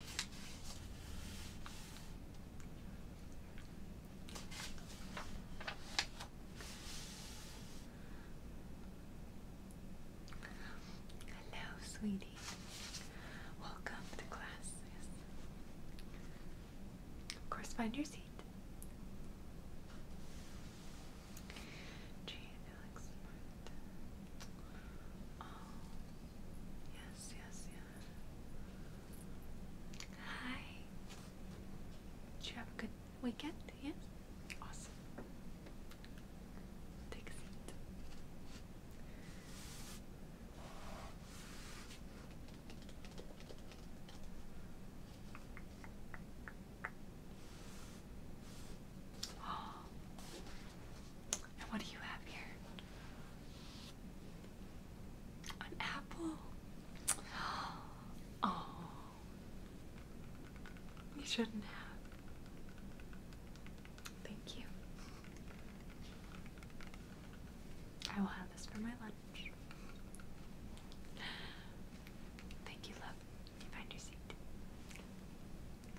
Hello, sweetie. Welcome to class. Of course, find your seat. Gee, Yes, yes, yes. Hi. Did you have a good weekend? Yes? Awesome. Take a seat. Oh, and what do you have here? An apple. Oh. You shouldn't have. Thank you. I will have this for my lunch. Thank you, love. find your seat.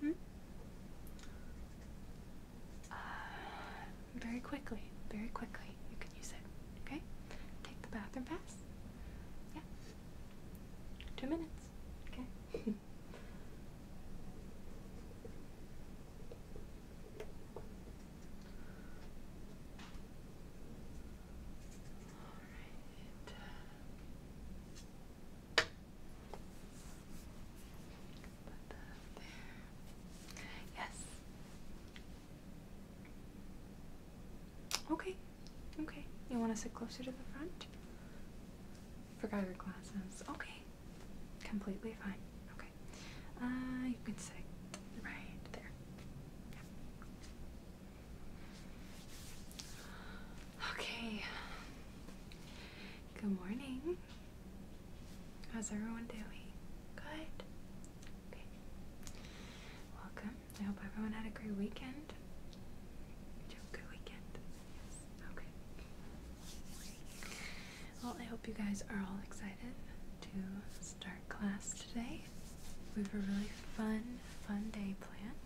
Hmm? Uh, very quickly, very quickly, you can use it. Okay? Take the bathroom pass. Yeah. Two minutes. Okay. Yes. Okay, okay. You want to sit closer to the front? Forgot your glasses. Okay, completely fine. Okay, uh, you can sit right there. Okay. Good morning. How's everyone doing? Good. Okay. Welcome. I hope everyone had a great weekend. good weekend? Yes. Okay. Well, I hope you guys are all excited to start class today. We have a really fun, fun day planned.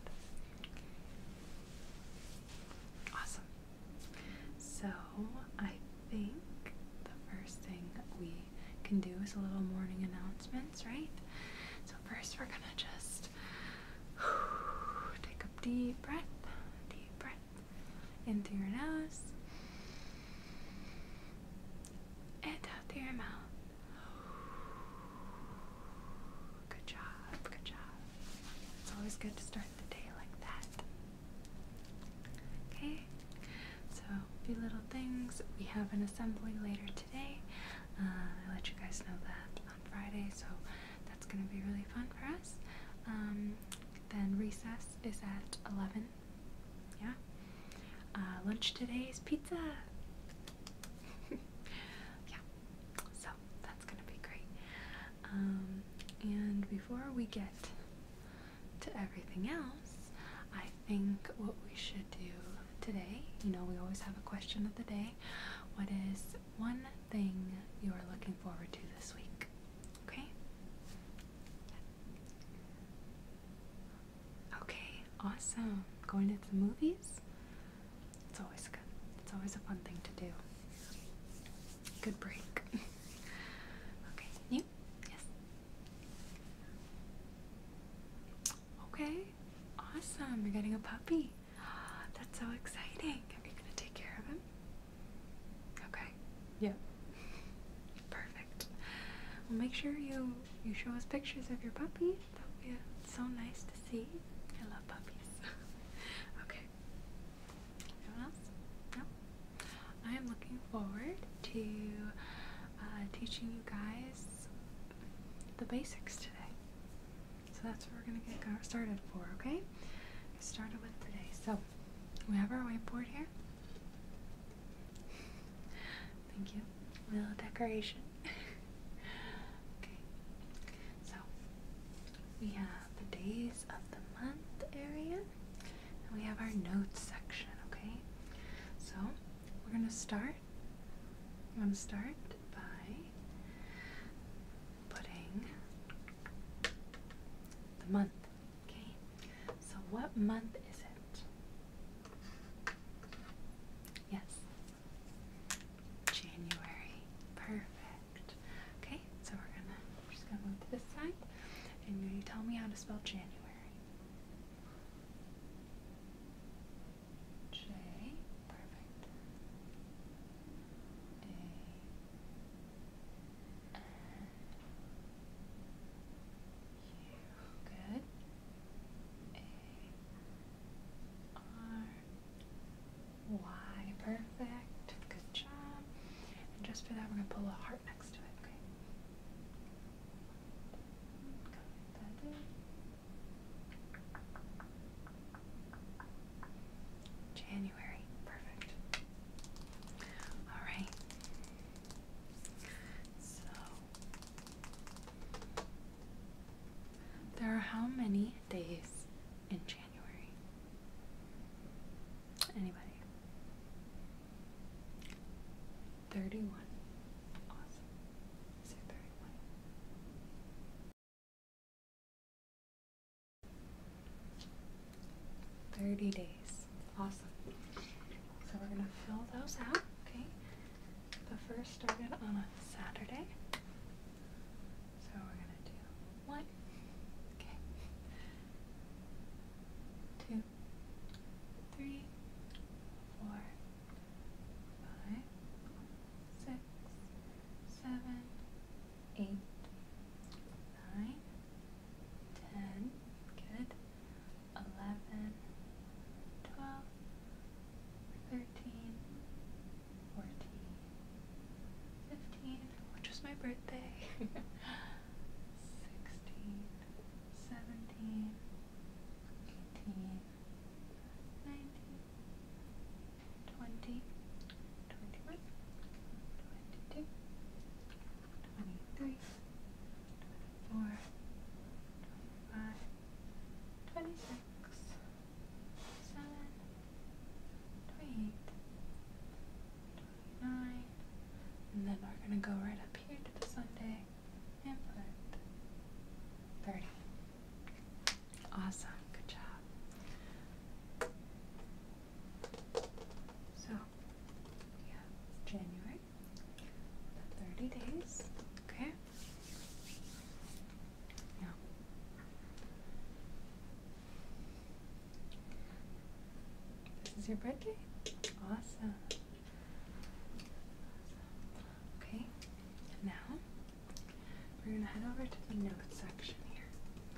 Awesome. So, I think the first thing we can do is a little morning announcement right? So first we're gonna just take a deep breath, deep breath in through your nose and out through your mouth. Good job, good job. It's always good to start the day like that. Okay, so a few little things. We have an assembly later today. Uh, I let you guys know that on Friday, so that's going to be really fun for us. Um, then recess is at 11. Yeah. Uh, lunch today is pizza. yeah. So that's going to be great. Um, and before we get to everything else, I think what we should do today, you know, we always have a question of the day. What is one thing you are looking forward to this week? Okay? Okay, awesome. Going to the movies? It's always good. It's always a fun thing to do. Good break. okay, you? Yes. Okay, awesome. You're getting a puppy. That's so exciting. Are we going to take care of him? Okay. Yeah. Perfect. Well, make sure you you show us pictures of your puppy. That would be uh, so nice to see. I love puppies. okay. Anyone else? No. I am looking forward to uh, teaching you guys the basics today. So that's what we're going to get started for, okay? started with today. So we have our whiteboard here. Thank you. Little decoration. okay. So we have the days of the month area. And we have our notes section, okay? So we're going to start I'm going to start by putting the month. Okay, so what month is it? Yes, January. Perfect. Okay, so we're gonna we're just gonna move to this side, and you tell me how to spell January. J, perfect. A, N, U, good. A, R, Y, perfect. Good job. And just for that, we're going to pull a heart next to it, okay? January, perfect. All right. So there are how many days in January? Anybody? 31. Awesome. Is 31? Thirty days. Awesome. So we're gonna fill those out, okay? The first started on a Saturday. So we're gonna do one, okay, two, two, three, four, five, six, seven, eight, nine, ten, good, eleven, twelve, thirteen, fourteen, fifteen, which was my birthday, sixteen. 17, 18, 19, 20, 21, 22, 23, 24, 25, 26, seventeen, eighteen, nineteen, twenty, twenty-one, twenty-two, twenty-three, twenty-four, twenty-five, twenty-six, seven, twenty-eight, twenty-nine, and then we're gonna go right up here to the Sunday. Pamphlet. 30. Awesome. Good job. So, we have January. 30 days. Okay? Now, this is your birthday? Awesome. Okay, now we're going to head over to the note section here.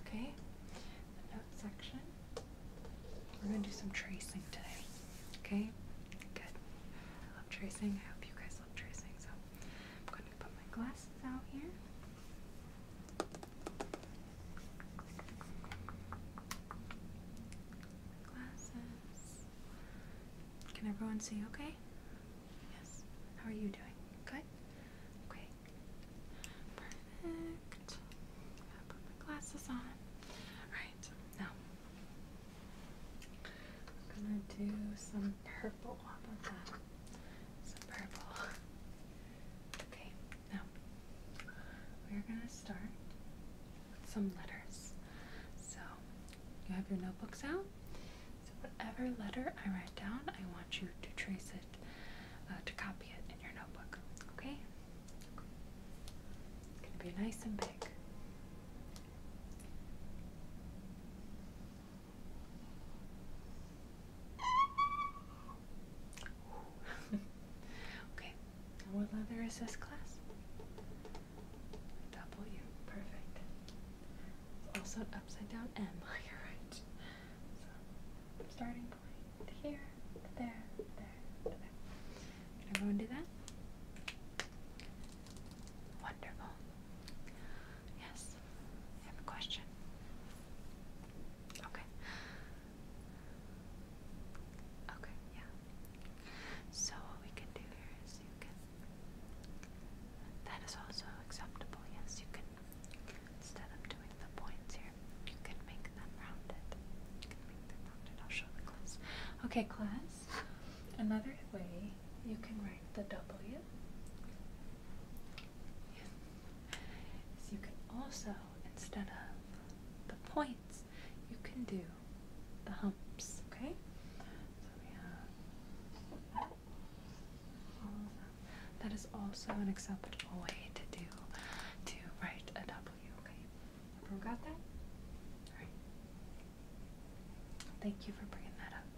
Okay, the note section. We're going to do some tracing today. Okay, good. I love tracing. I hope you guys love tracing. So I'm going to put my glasses out here. Glasses. Can everyone see okay? Yes. How are you doing? Good? Okay. Perfect. I'll put my glasses on. Alright, now I'm gonna do some purple. Some purple. Okay, now we're gonna start some letters. So you have your notebooks out. So whatever letter I write down, I want you to trace it, uh, to copy it in your notebook. Okay? It's gonna be nice and big. okay, now what letter is this class? W, perfect. It's also an upside down M, you're right. starting point here, there, there, there. Can everyone do that? Wonderful. Yes, I have a question. Okay. Okay, yeah. So what we can do here is you can that is also acceptable, yes, you can instead of doing the points here, you can make them rounded. You can make them rounded. I'll show the class. Okay, class. Another way you can write the W is you can also, instead of the point you can do the humps, okay? So we have That is also an acceptable way to do, to write a W, okay? Everyone got that? Alright. Thank you for bringing that up.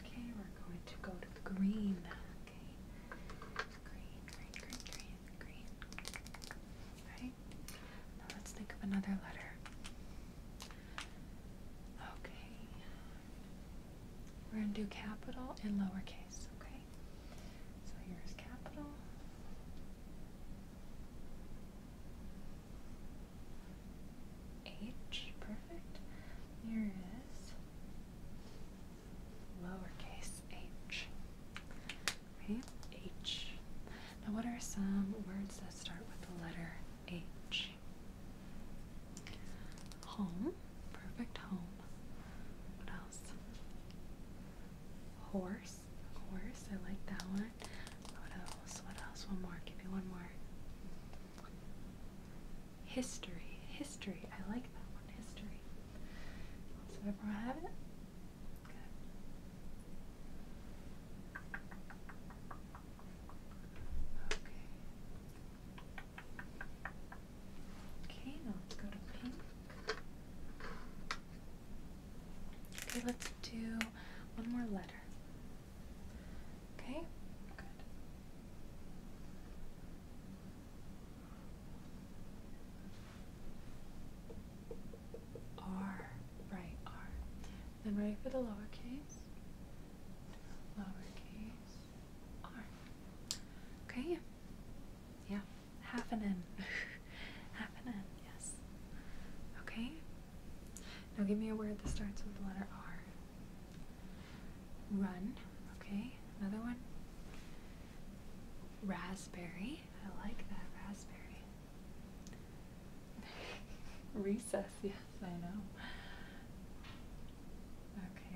Okay, we're going to go to the green. Okay. Green, green, green, green green. Right? let's think of another letter. Okay. We're going to do capital and lowercase, okay? So here's capital. H, perfect. Here is lowercase h. Right? H. Now, what are some words that start with the letter H? Home. Perfect home. What else? Horse. Horse. I like that one. What else? What else? One more. Give me one more. History. History. I like that one history. Does everyone have it? Okay. Okay, let's go to pink. Okay, let's do one more letter. Okay, R, right R. Then ready for the lowercase? Lowercase R. Okay. Yeah. Half an N. Half an N, yes. Okay. Now give me a word that starts with the letter R. Run. Okay. Another one. Raspberry. I like that raspberry. Recess, yes, I know.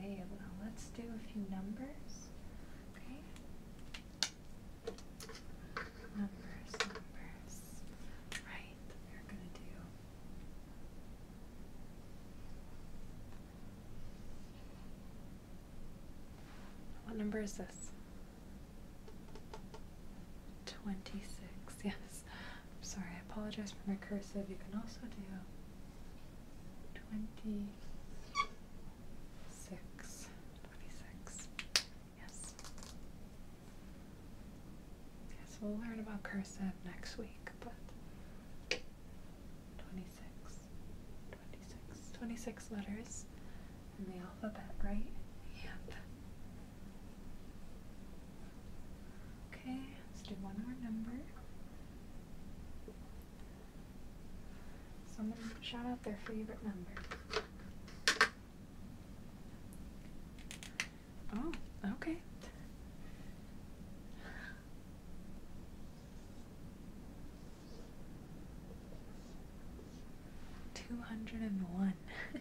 Okay, well, let's do a few numbers. Okay. Numbers, numbers. Right, we're going to do. What number is this? 26, yes. I'm sorry, I apologize for my cursive. You can also do 26. 26, yes. Okay, we'll learn about cursive next week, but 26, 26, letters in the alphabet, right? Yep. Okay, let's do one more number. So I'm gonna shout out their favorite number. Oh, okay. Two hundred and one.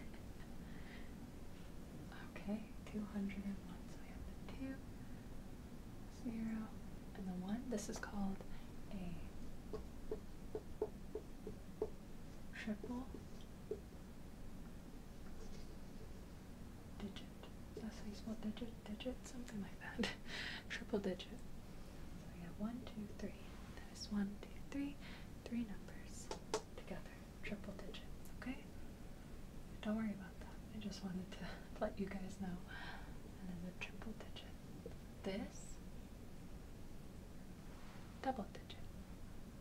okay, two hundred and one. So we have the two, zero, and the one. This is called a triple digit. That's how you spell digit digit, something like that. Triple digit. So we have one, two, three. That is one, two, three. Three numbers together. Triple digit. Okay? Don't worry about that. I just wanted to let you guys know. And then the triple digit. This double digit.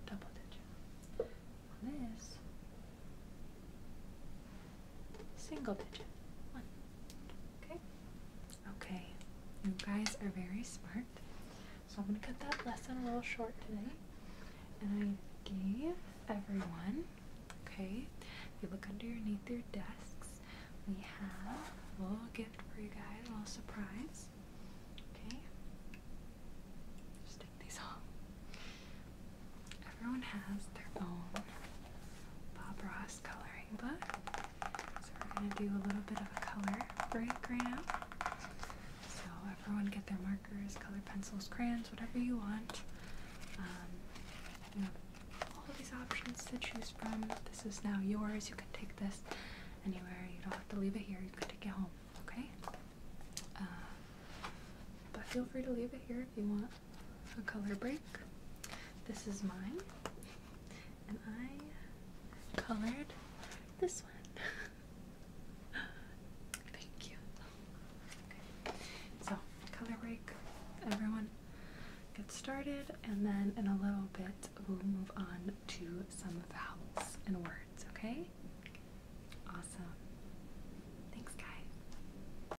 Double digit. this Single digit. One. Okay. Okay. You guys are very smart. So I'm going to cut that lesson a little short today. And I gave everyone, okay, you look underneath your desks, we have a little gift for you guys, a little surprise. Okay. Just take these off. Everyone has their own Bob Ross coloring book. So we're going to do a little bit of a color break right So everyone get their markers, color pencils, crayons, whatever you want. Um, you have all these options to choose from. This is now yours. You can take this anywhere. You don't have to leave it here. You can take it home, okay? Uh, but feel free to leave it here if you want a color break. This is mine, and I colored this one. Thank you. So, color break, everyone get started, and then in a little bit we'll move on to some vowels and words, okay? Awesome. Thanks, guys.